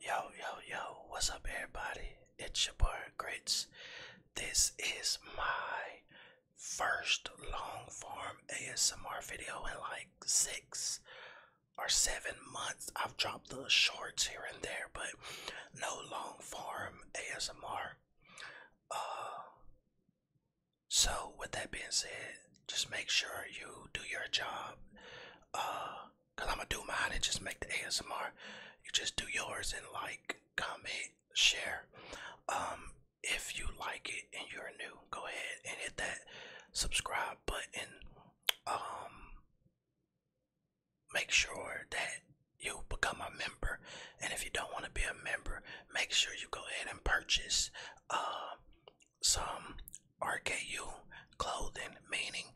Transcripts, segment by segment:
Yo, yo, yo, what's up, everybody? It's your boy Grits. This is my first long form ASMR video in like six or seven months. I've dropped the shorts here and there, but no long form ASMR. Uh, so, with that being said, just make sure you do your job. Uh, Cause I'ma do mine and just make the ASMR. You just do yours and like, comment, share. Um, if you like it and you're new, go ahead and hit that subscribe button. Um, make sure that you become a member. And if you don't want to be a member, make sure you go ahead and purchase uh, some RKU clothing, meaning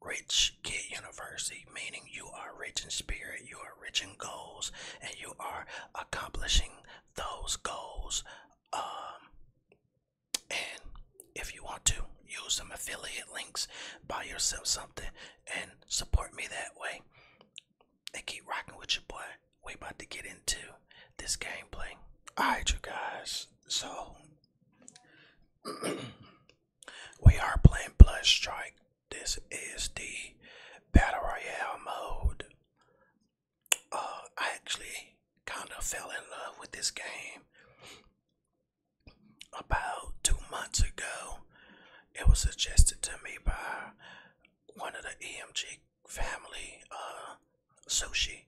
rich kid university, meaning you are rich in spirit, you are rich in goals, and you are accomplishing those goals. Um, and if you want to use some affiliate links, buy yourself something, and support me that way. And keep rocking with your boy. We about to get into this gameplay. Alright you guys, so we are playing Blood Strike. This is the Battle Royale mode. Uh, I actually kind of fell in love with this game about two months ago. It was suggested to me by one of the EMG family. Uh, sushi.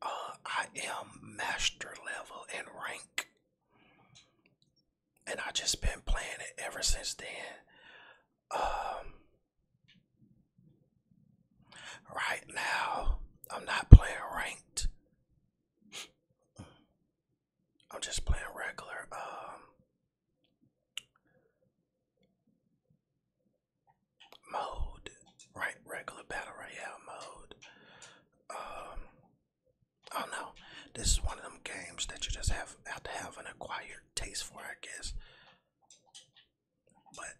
Uh, I am master level and rank, and I just been playing it ever since then. Um, right now, I'm not playing ranked. I'm just playing regular. Um, mode, right? Regular battle royale mode. Um, I don't know. This is one of them games that you just have, have to have an acquired taste for, I guess. But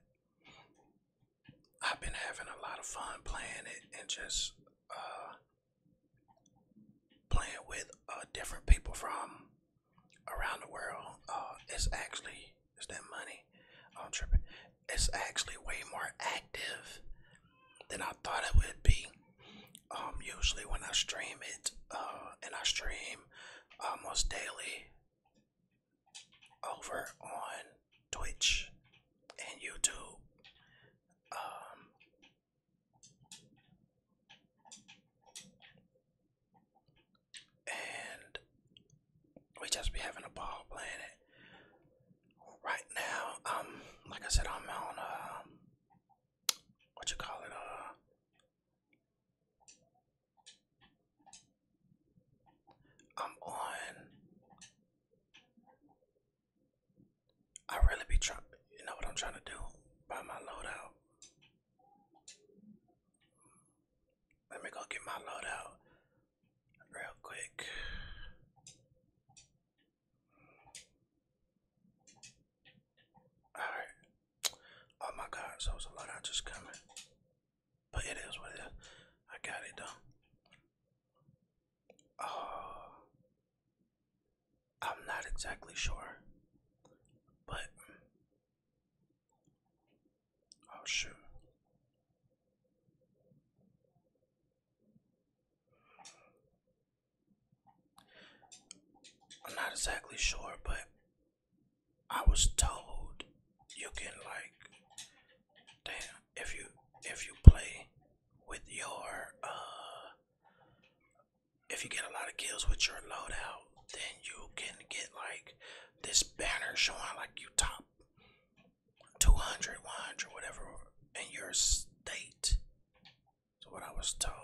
I've been having a lot of fun playing it and just uh, playing with uh, different people from around the world. Uh, it's actually it's that money. Oh, I'm tripping. It's actually way more active than I thought it would be. Um, usually when I stream it, uh, and I stream almost uh, daily over on Twitch and YouTube. Um, and we just be having a ball playing it. Right now, um, like I said, I'm on uh, what you call it, uh, I'm on. I really be trying, you know what I'm trying to do by my loadout. Let me go get my loadout real quick. Alright. Oh my god, so it's a lot I just coming. But it is what it is. I got it done. Oh I'm not exactly sure. But Oh, shoot. I'm not exactly sure, but I was told you can like damn if you if you play with your uh if you get a lot of kills with your loadout, then you can get like this banner showing like you top 200, 100, whatever in your state. So what I was told.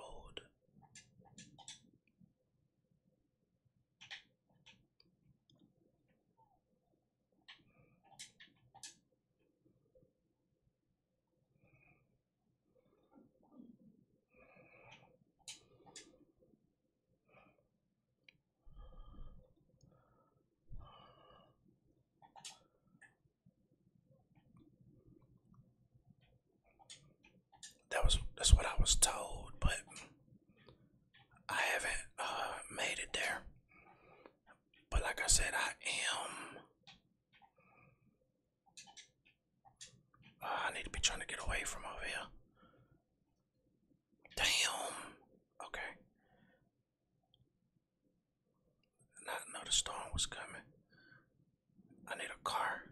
That was that's what I was told, but I haven't uh, made it there. But like I said, I am. Uh, I need to be trying to get away from over here. Damn. Okay. Not know the storm was coming. I need a car.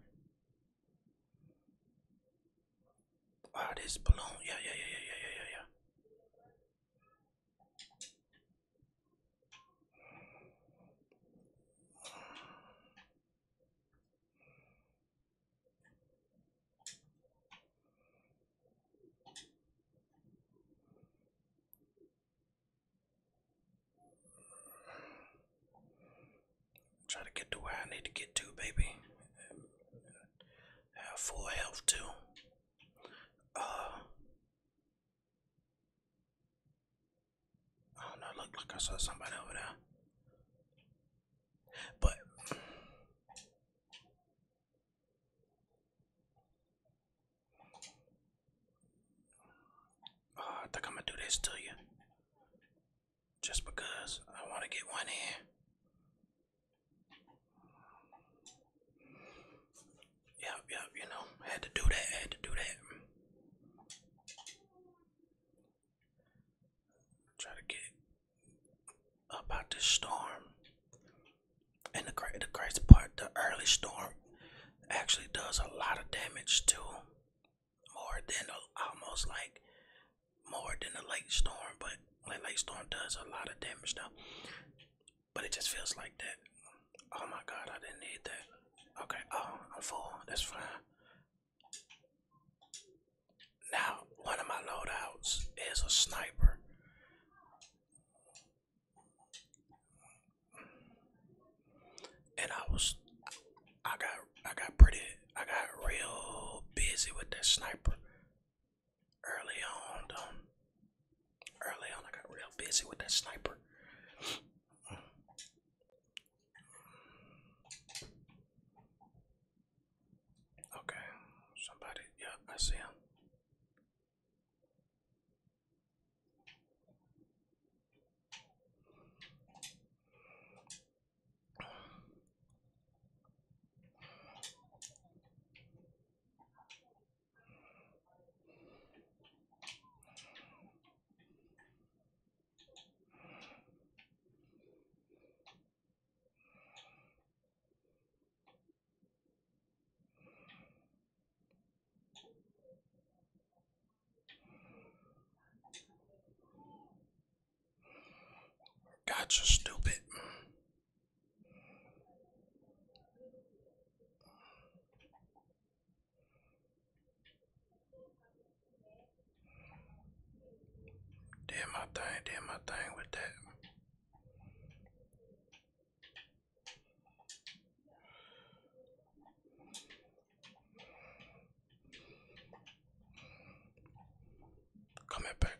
Wow, ah, this balloon. Yeah, yeah, yeah, yeah, yeah, yeah, yeah. Try to get to where I need to get to, baby. Have full health too. Uh, I don't know. Look, like I saw somebody over there. But I think I'm gonna do this to you. Just because I want to get one in. Yep, yep, you know, had to do that, had to do that. Try to get up out this storm. And the, great, the crazy part, the early storm actually does a lot of damage too. More than almost like more than the late storm, but like late storm does a lot of damage though. But it just feels like that. Oh my god, I didn't need that. Okay, oh, I'm full. That's fine. Now, one of my loadouts is a sniper. And I was I got I got pretty I got real busy with that sniper early on um, early on I got real busy with that sniper Okay, somebody, yeah, I see him. Gotcha, stupid. Did my thing, did my thing with that. Coming back.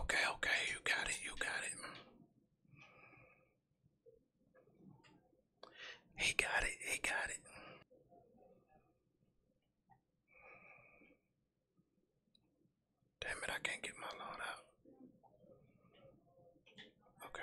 Okay, okay, you got it, you got it. He got it, he got it. Damn it, I can't get my load out. Okay.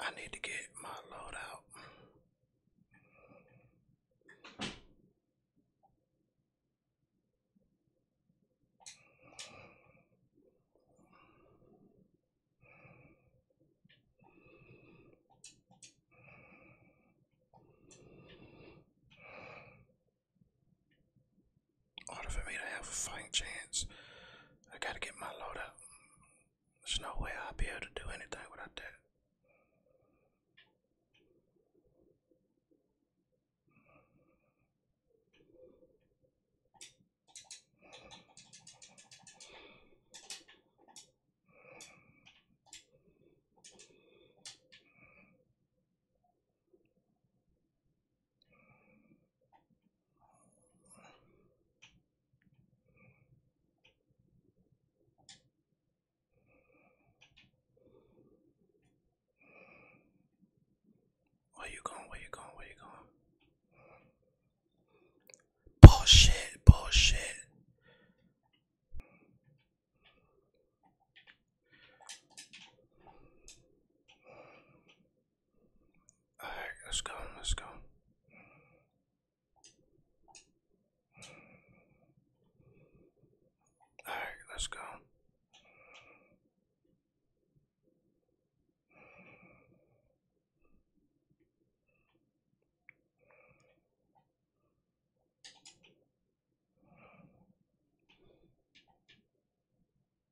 I need to get my load out. Order for me to have a fighting chance, I gotta get my load up. There's no way I'll be able to do anything without that. Where you going? Where you going? Where you going? Bullshit, bullshit. All right, let's go. Let's go. All right, let's go.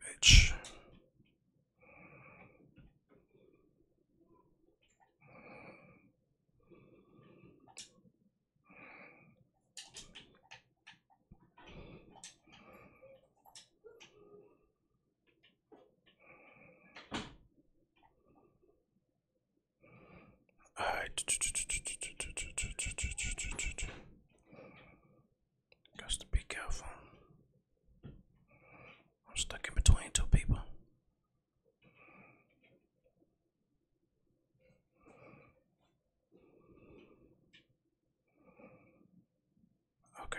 Bitch. I got to be careful. I'm stuck in between two people. Okay.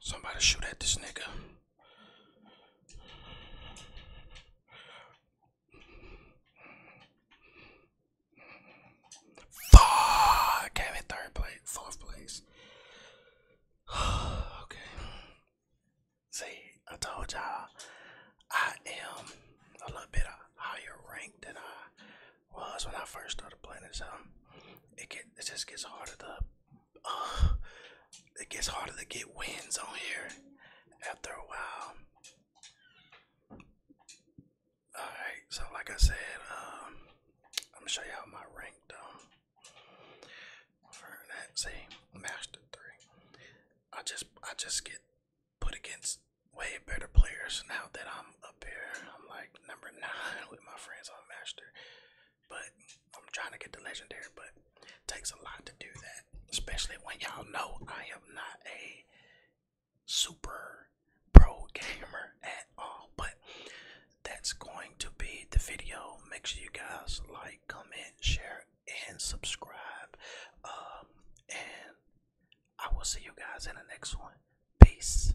Somebody shoot at this nigga. Fuck! Came in third place, fourth place. okay. See, I told y'all I am a little bit higher ranked than I well, that's when I first started playing this. Um, it get it just gets harder to, uh, it gets harder to get wins on here after a while. All right, so like I said, um, I'm gonna show you how my rank though. For that same master three, I just I just get put against way better players now that I'm up I'm like number nine with my friends on master, but I'm trying to get the legendary. But it takes a lot to do that, especially when y'all know I am not a super pro gamer at all. But that's going to be the video. Make sure you guys like, comment, share, and subscribe. Um, and I will see you guys in the next one. Peace.